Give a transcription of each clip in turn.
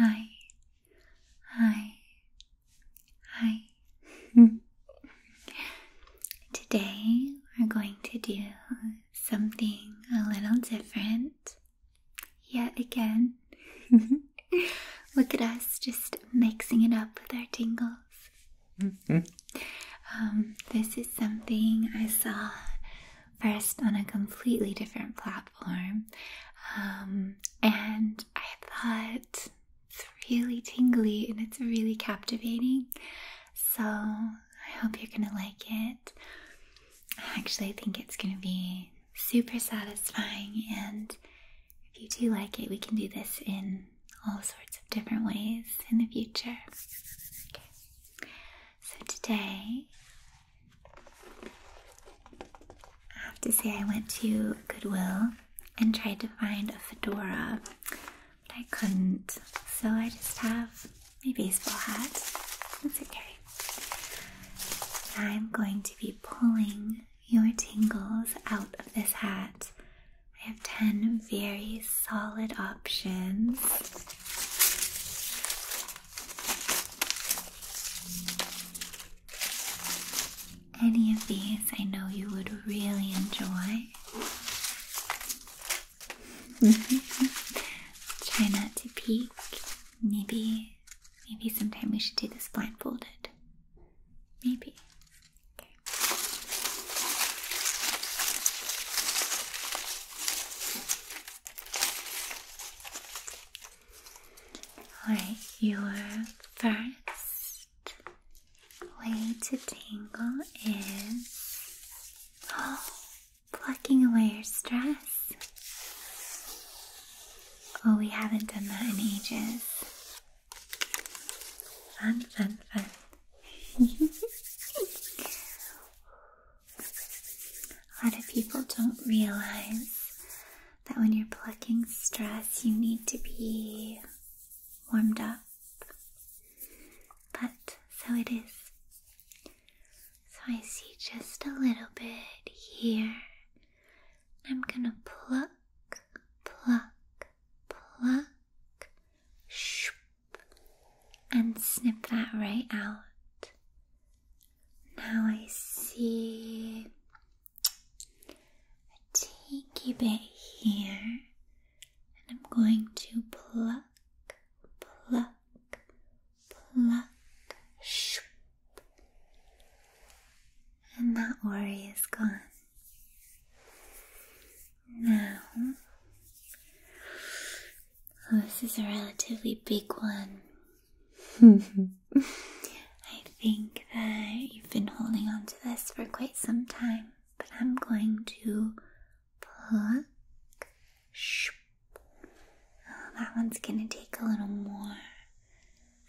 Hi, hi, hi. Today we're going to do something a little different. Yet again. Look at us just mixing it up with our tingles. Mm-hmm. Um, this is something I saw first on a completely different platform. Um, and I thought it's really tingly and it's really captivating. So I hope you're gonna like it. I actually think it's gonna be super satisfying, and if you do like it, we can do this in all sorts of different ways in the future. Okay. So today, I have to say, I went to Goodwill and tried to find a fedora, but I couldn't, so I just have my baseball hat. That's okay. I'm going to be pulling your tingles out of this hat. I have 10 very solid options. Any of these I know you would really enjoy. Mm-hmm. Try not to peek. Maybe, maybe sometime we should do this blindfolded. Maybe. Okay. All right, your first way to tingle is. Oh, plucking away your stress. Oh, we haven't done that in ages. Fun, fun, fun. A lot of people don't realize that when you're plucking stress, you need to be warmed up. But so it is. So I see just a little bit here. I'm gonna pluck, pluck, pluck, shoop, and snip that right out. Now I see a teeny bit here, and I'm going to pluck, pluck, pluck, shoop. And that worry is gone. Now, oh, this is a relatively big one. I think that you've been holding on to this for quite some time, but I'm going to book. Oh, that one's gonna take a little more.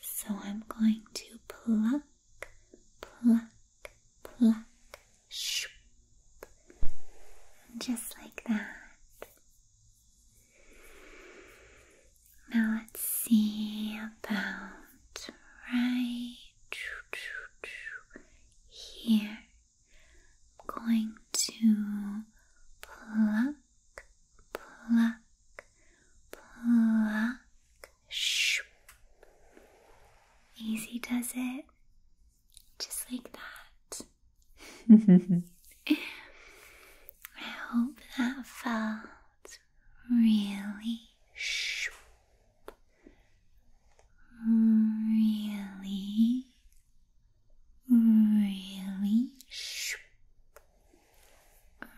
So I'm going to pluck, pluck, pluck, shoop. Just like that. Now let's see about right here. I'm going to pluck, pluck, pluck. Shh. Easy does it. Just like that. I hope that felt really Really, really,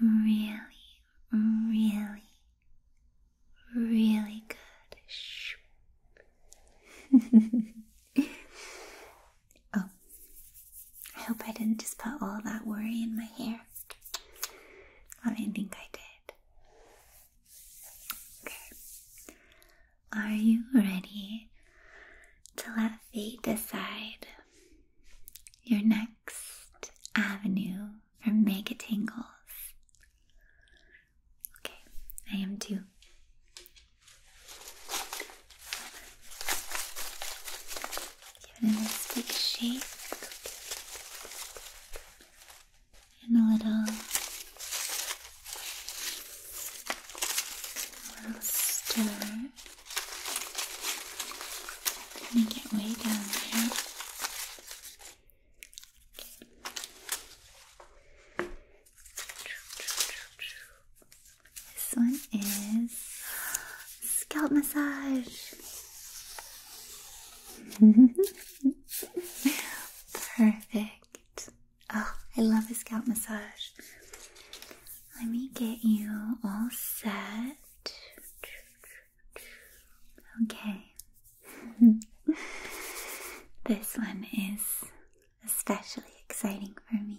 really, really, really good. oh, I hope I didn't just put all that worry in my hair. Well, I think I did. Okay. Are you ready to let fate decide your next avenue for mega tangles? Okay, I am too. Give it a nice big and a little, a stir. Let me get way down there. This one is scalp massage. Perfect. Oh, I love a scalp massage. Let me get you all set. Okay. this one is especially exciting for me.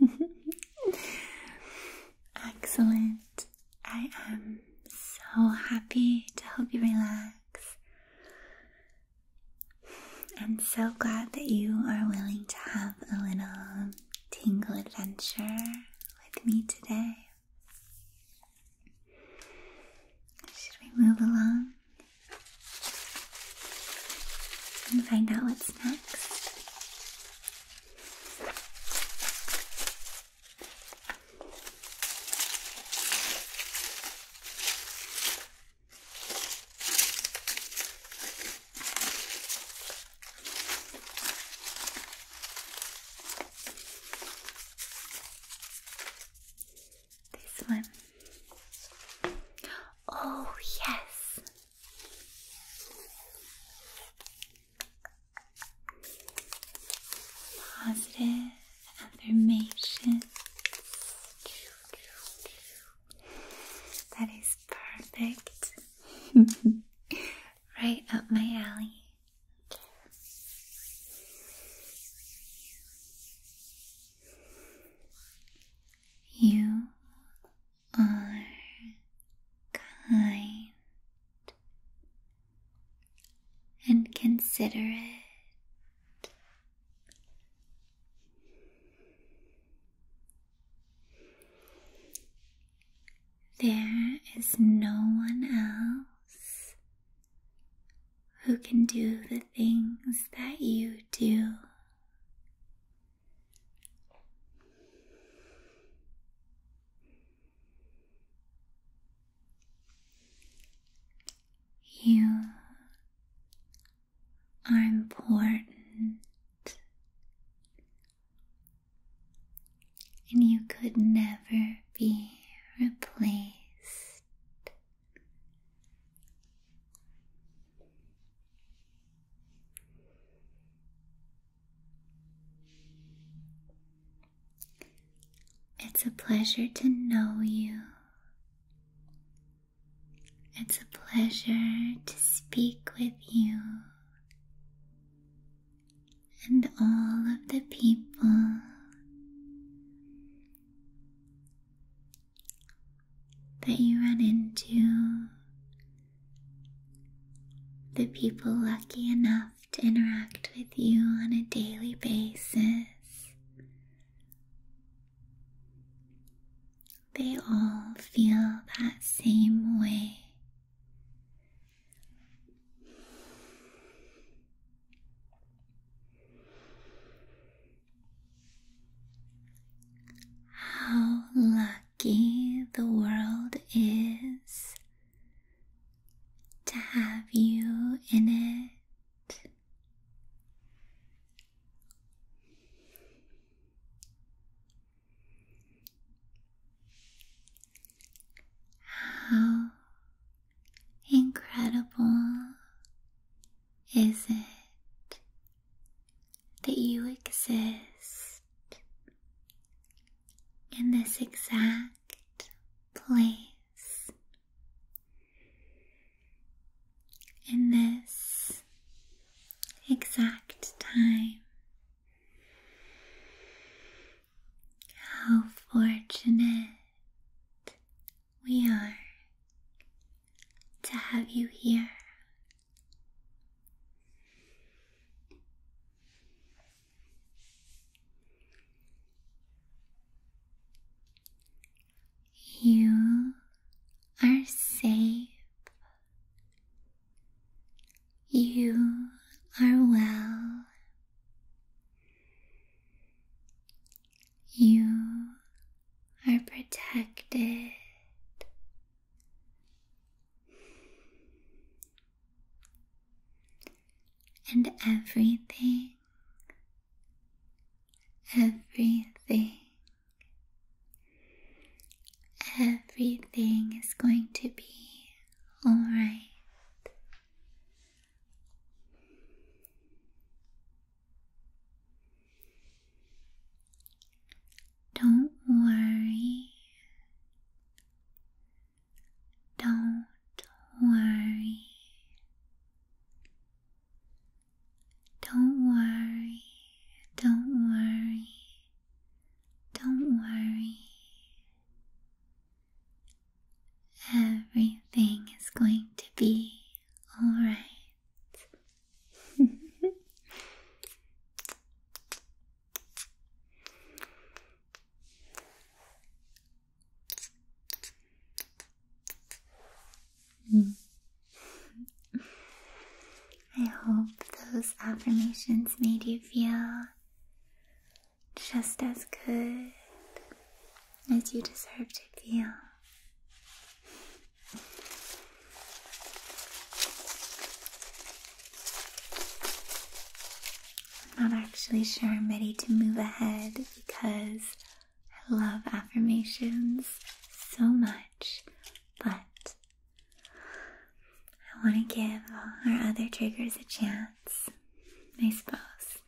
Excellent. I am so happy to help you relax. I'm so glad that you are willing to have a little tingle adventure with me today. Should we move along and find out what's next? This one. Oh, yes, Positive affirmation. That is perfect. right up my alley. You are kind and considerate. There is no one else who can do the things that you do. You are important, and you could never be replaced it's a pleasure to know you. It's a pleasure to speak with you and all of the people that you run into the people lucky enough to interact with you on a daily basis. They all feel that same way. How lucky the world is to have you in it. How incredible is it that you exist in this exact place, in this exact time. How fortunate we are to have you here. You are safe. You are well. You are protected. And everything, everything, everything is going to be alright. Don't worry. Don't worry. Don't worry. Don't worry. Don't worry. Everything is going to be all right. I hope those affirmations made you feel just as good as you deserve to feel. I'm not actually sure I'm ready to move ahead because I love affirmations so much, but I want to give all our other triggers a chance, I suppose.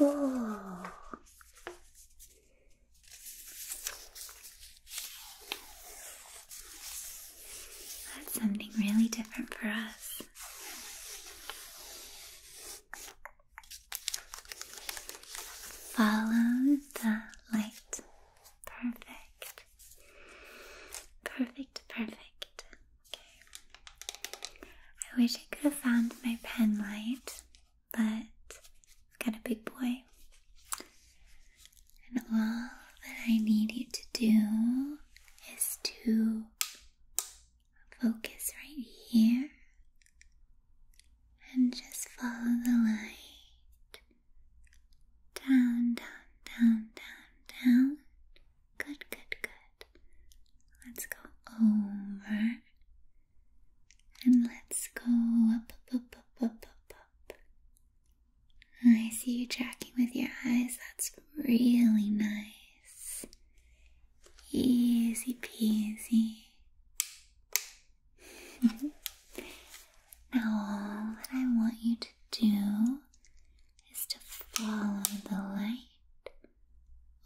Oh. That's something really different for us. Follow the light. Perfect. Perfect, perfect. Okay. I wish I could have found my pen light, but I've got a big boy. And all that I need you to do is to focus right here and just follow the light down, down, down, down, down. Good, good, good. Let's go over and let's go up, up, up, up, up, up, up. I see you tracking with your eyes. That's really nice. Easy peasy. now, all that I want you to do is to follow the light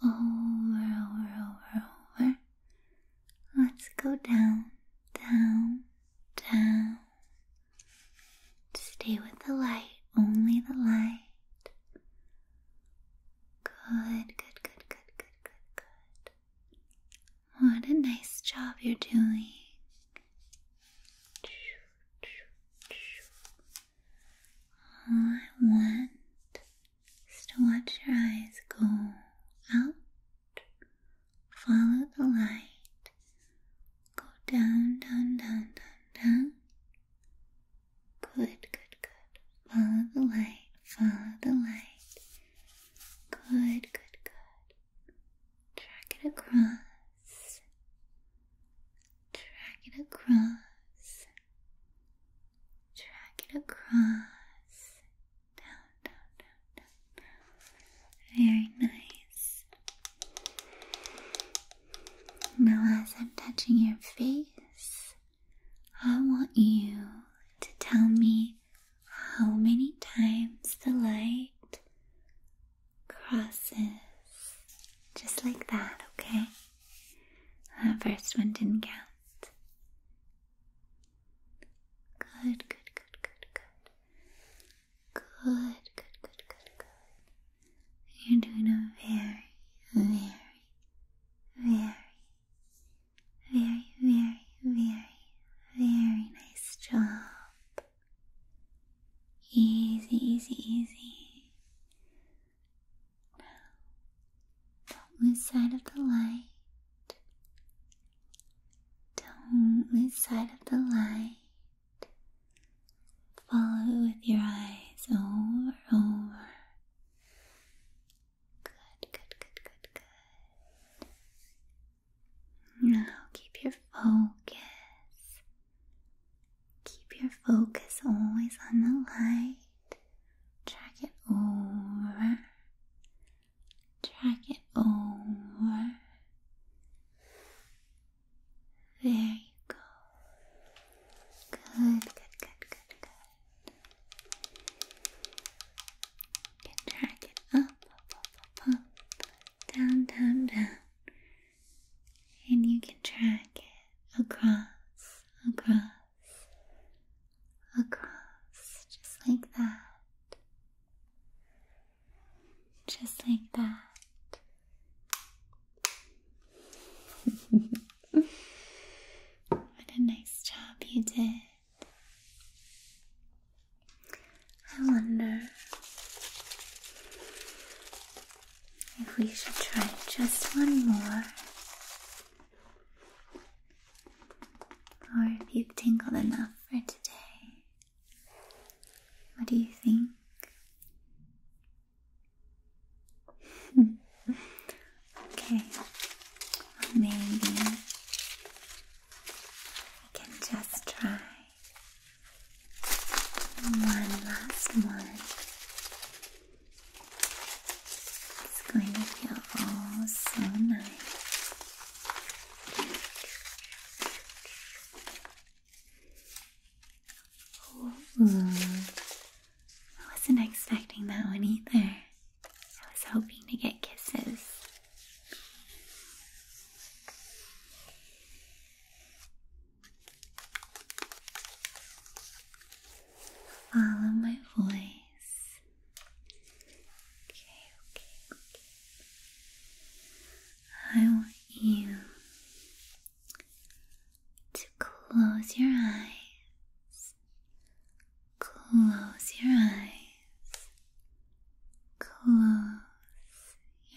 over, over, over, over. Let's go down, down, down, Stay with the light, only the light. Good, good, good, good, good, good, good. What a nice job you're doing. All I want is to watch your eyes go out, follow the light, Go down, down, down, down, down. Good, good, good. Follow the light, follow the light. Good, good, good. Track it across. Track it across. Track it across. Down, down, down, down, down. Very nice. Now, as I'm touching your face, I want you to tell me how many times the light crosses. Just like that, okay? That first one didn't count. Good, good, good, good, good. Good, good, good, good, good. You're doing a very, very, very, very, very, very, very nice job. Easy, easy, easy. Now, don't lose sight of the light. Don't lose sight of the light. Follow with your eyes over, over. Good, good, good, good, good. Now keep your focus. Keep your focus always on the light. Track it over drag it over. There you go. Good, good, good, good, good. can drag it up, up, up, up, down, down, down. And you can drag it across, across, across, just like that. Just like that. what a nice job you did. I wonder if we should try just one more. Or if you've tingled enough for today. What do you think? okay, maybe we can just try one last one. It's going to feel all so nice. I wasn't expecting that one either. I was hoping to get kisses. Follow my voice. Okay, okay, okay. I want you to close your eyes. Close your eyes. Close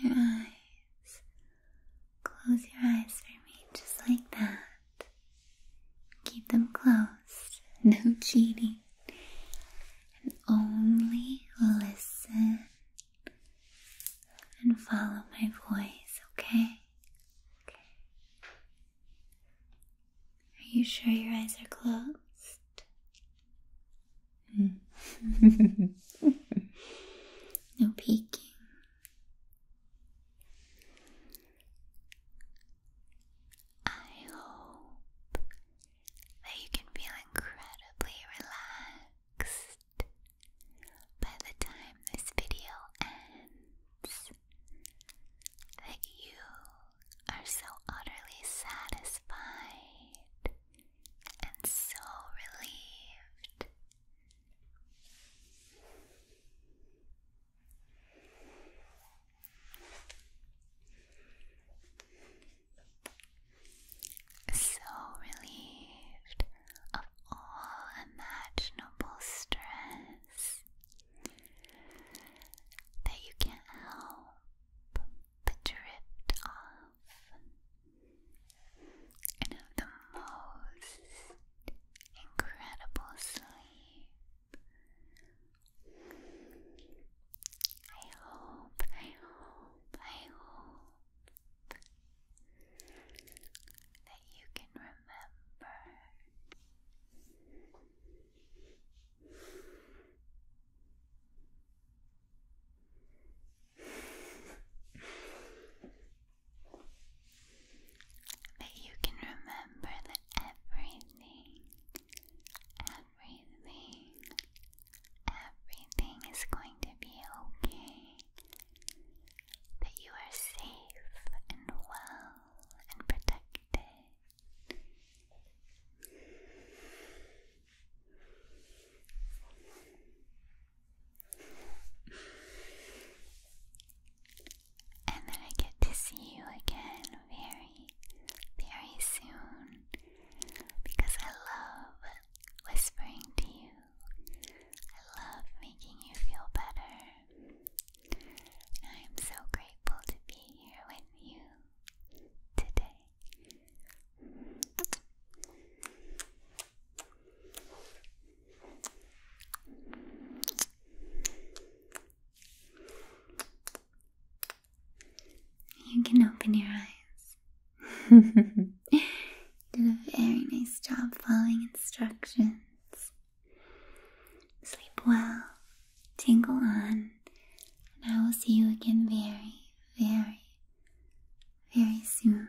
your eyes. Close your eyes for me, just like that. Keep them closed. No cheating and only listen and follow my voice, okay? Okay. Are you sure your eyes are closed? Mm. no peeking. I hope that you can feel incredibly relaxed by the time this video ends. That you are so utterly satisfied and so relieved. So relieved of all imaginable stress that you can't help but drift off and the most incredible sleep. I hope, I hope, I hope that you can remember that you can remember that everything, everything. Everything is going to be okay. That you are safe and well and protected. And that I get to see you again very, soon because I love whispering to you. I love making you feel better. I am so grateful to be here with you today. You can open your eyes. Did a very nice job following instructions. Sleep well, tingle on, and I will see you again very, very, very soon.